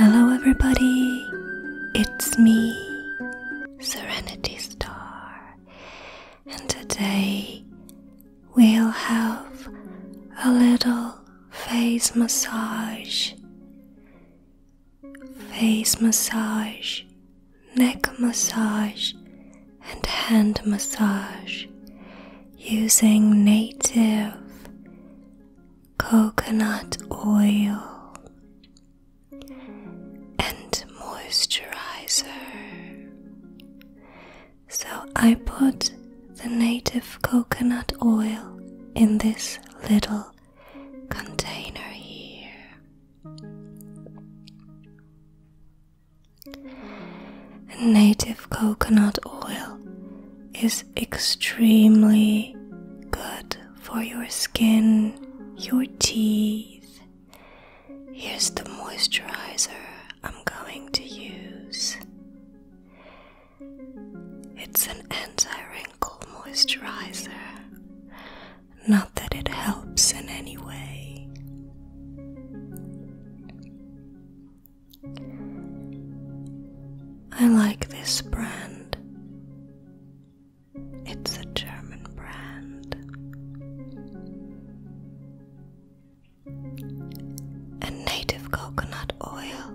Hello, everybody. It's me, Serenity Star and today we'll have a little face massage, face massage, neck massage, and hand massage using native coconut oil and moisturizer. So I put the native coconut oil in this little container here. Native coconut oil is extremely good for your skin, your teeth, Here's the moisturizer I'm going to use. It's an anti wrinkle moisturizer. Not that it helps in any way. I like this brand. It's a German brand. A native coconut oil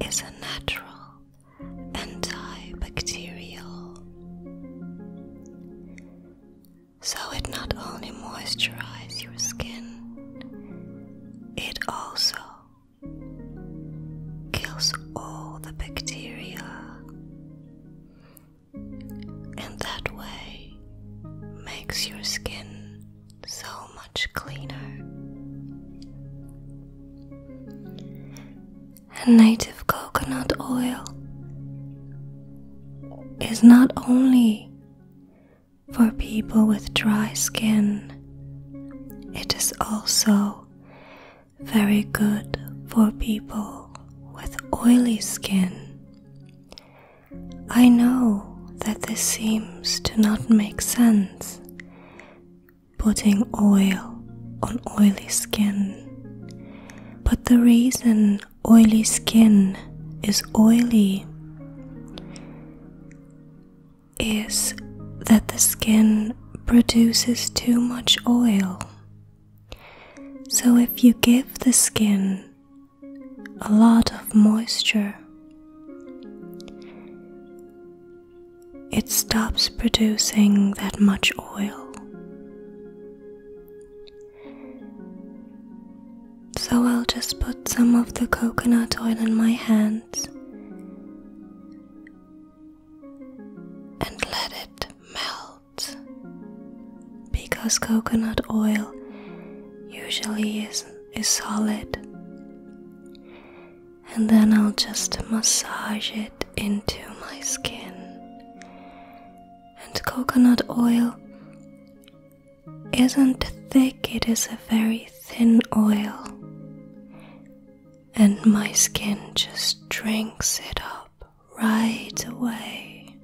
is a natural antibacterial. So it not only moisturizes your skin, it also kills all the bacteria and that way makes your skin so much cleaner. And native coconut oil is not only for people with dry skin, it is also very good for people with oily skin. I know that this seems to not make sense. Putting oil on oily skin. But the reason oily skin is oily is that the skin produces too much oil. So, if you give the skin a lot of moisture, it stops producing that much oil. So, I'll just put some of the coconut oil in my hands and let it melt because coconut oil usually is, is solid. And then I'll just massage it into my skin. And coconut oil isn't thick, it is a very thin oil and my skin just drinks it up right away.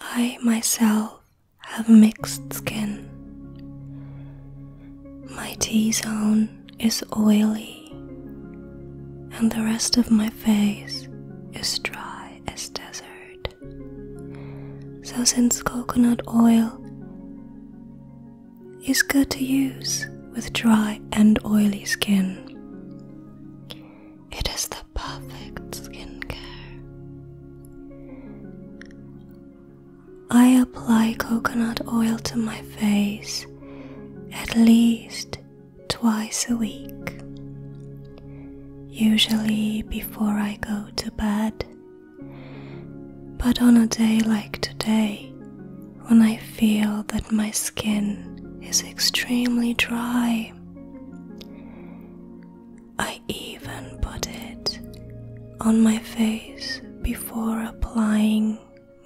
I myself have mixed skin. My T zone is oily, and the rest of my face is dry as desert. So, since coconut oil is good to use with dry and oily skin. It is the perfect skincare. I apply coconut oil to my face at least twice a week, usually before I go to bed but on a day like today, when I feel that my skin is extremely dry, I even put it on my face before applying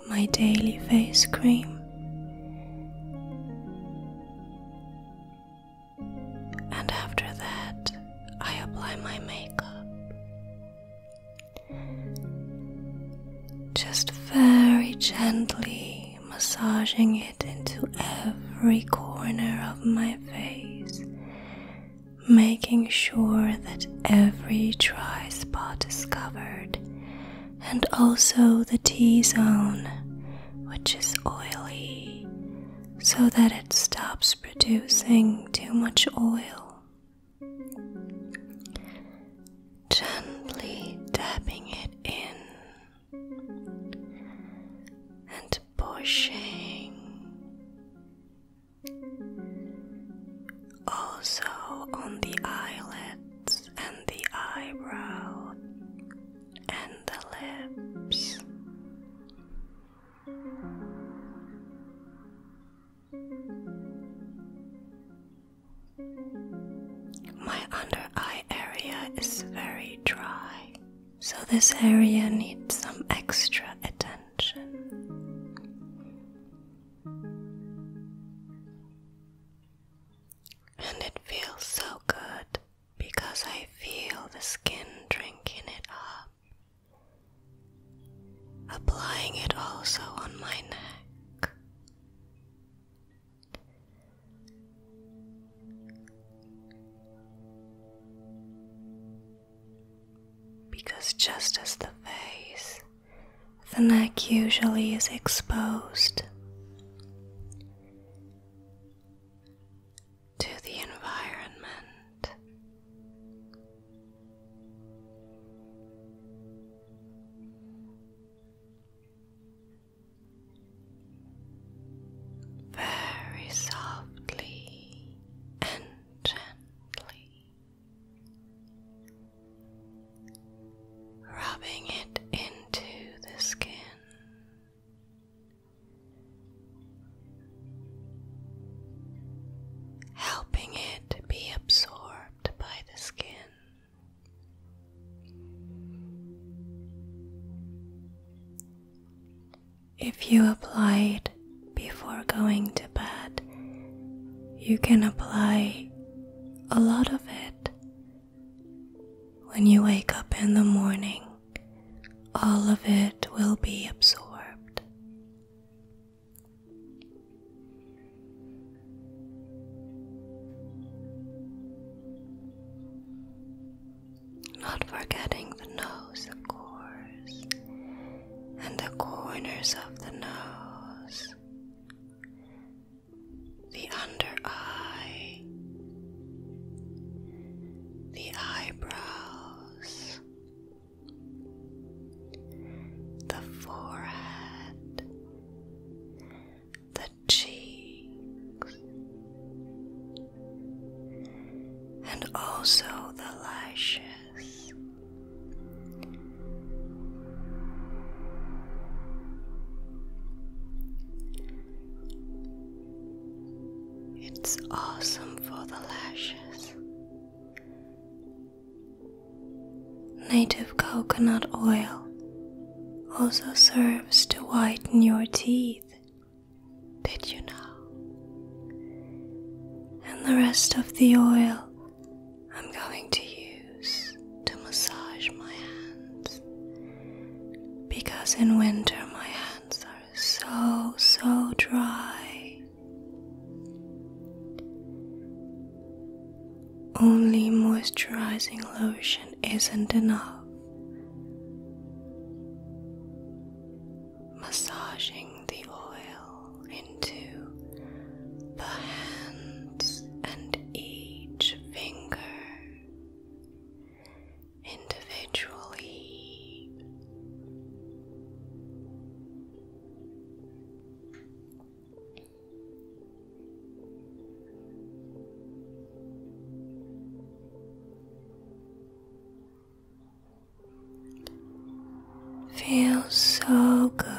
my daily face cream. And after that, I apply my makeup. Just very gently massaging it into every corner of my face, making sure that every dry spot is covered and also the T zone, which is oily, so that it stops producing too much oil. Gently dabbing it in and pushing. Also on the eyelids and the eyebrow and the lips. My under eye area is very dry, so this area needs some extra attention. And it feels so good because I feel the skin drinking it up applying it also on my neck. Because just as the face, the neck usually is exposed to the environment. Very softly and gently, rubbing it into the skin helping it be absorbed by the skin. If you applied before going to bed, you can apply a lot of it when you wake up in the morning all of it will be absorbed. Not forgetting the nose, of course, and the corners of the nose, the under eye the eyebrows, the forehead, the cheeks, and also the lashes. It's awesome for the lashes. Native coconut oil also serves to whiten your teeth. Did you know? And the rest of the oil I'm going to use to massage my hands because in winter my hands are so, so dry. Only moisturizing lotion isn't enough. Massaging the oil into the hands and each finger individually. Feels so good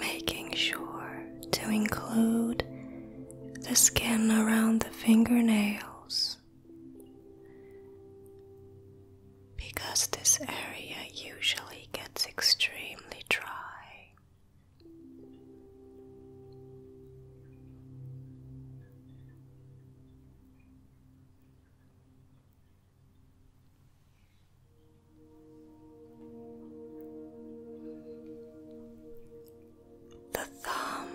Making sure to include the skin around the fingernails because this area usually gets extremely dry the thumb,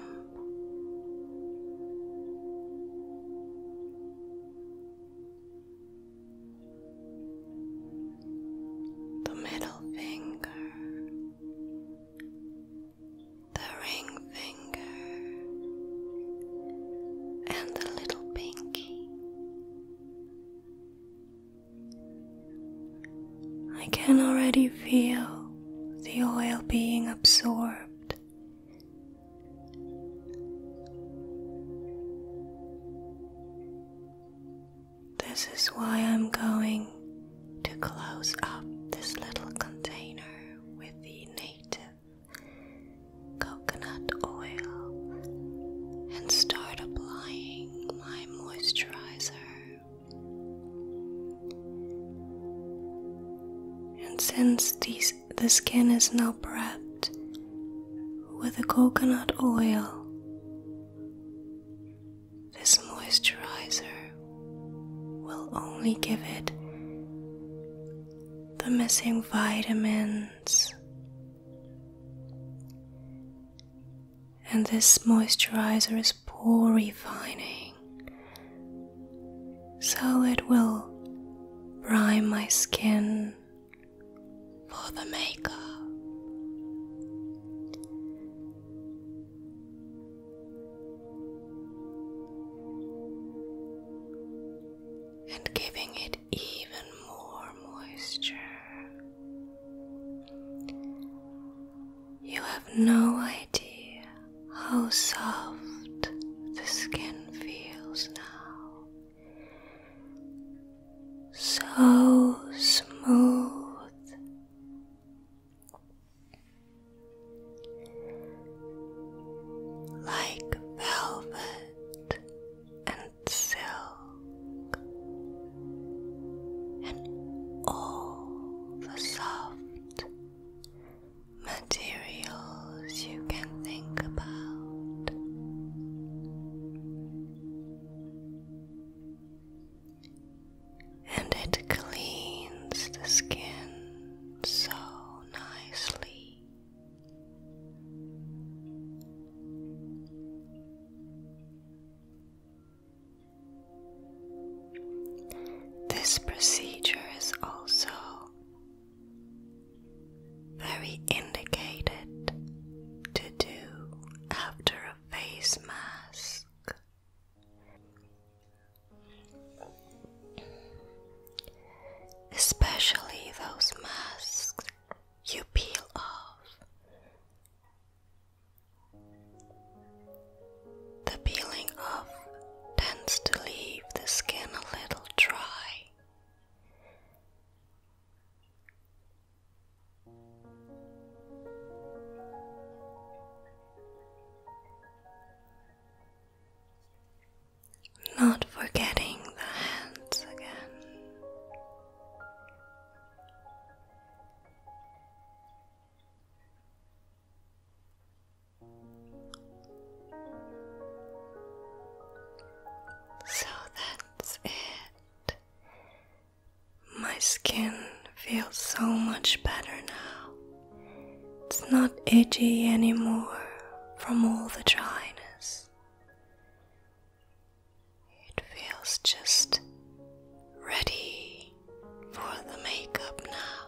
the middle finger, the ring finger, and the little pinky. I can already feel the oil being absorbed. This is why I'm going to close up this little container with the native coconut oil and start applying my moisturizer. And since the skin is now prepped with the coconut oil, this moisturizer will only give it the missing vitamins and this moisturizer is pore refining, so it will prime my skin for the makeup. And giving it even more moisture. You have no idea how soft the skin feels now. So smooth. Like velvet and and silk and all the soft materials you can think about. And it cleans the skin so nicely. This procedure is also very indicated to do after a face mask. Especially those masks you peel off. The peeling off tends to leave the skin a little dry. Not forgetting the hands again. So that's it. My skin feels so much better now. It's not itchy anymore from all the dryness. It feels just ready for the makeup now.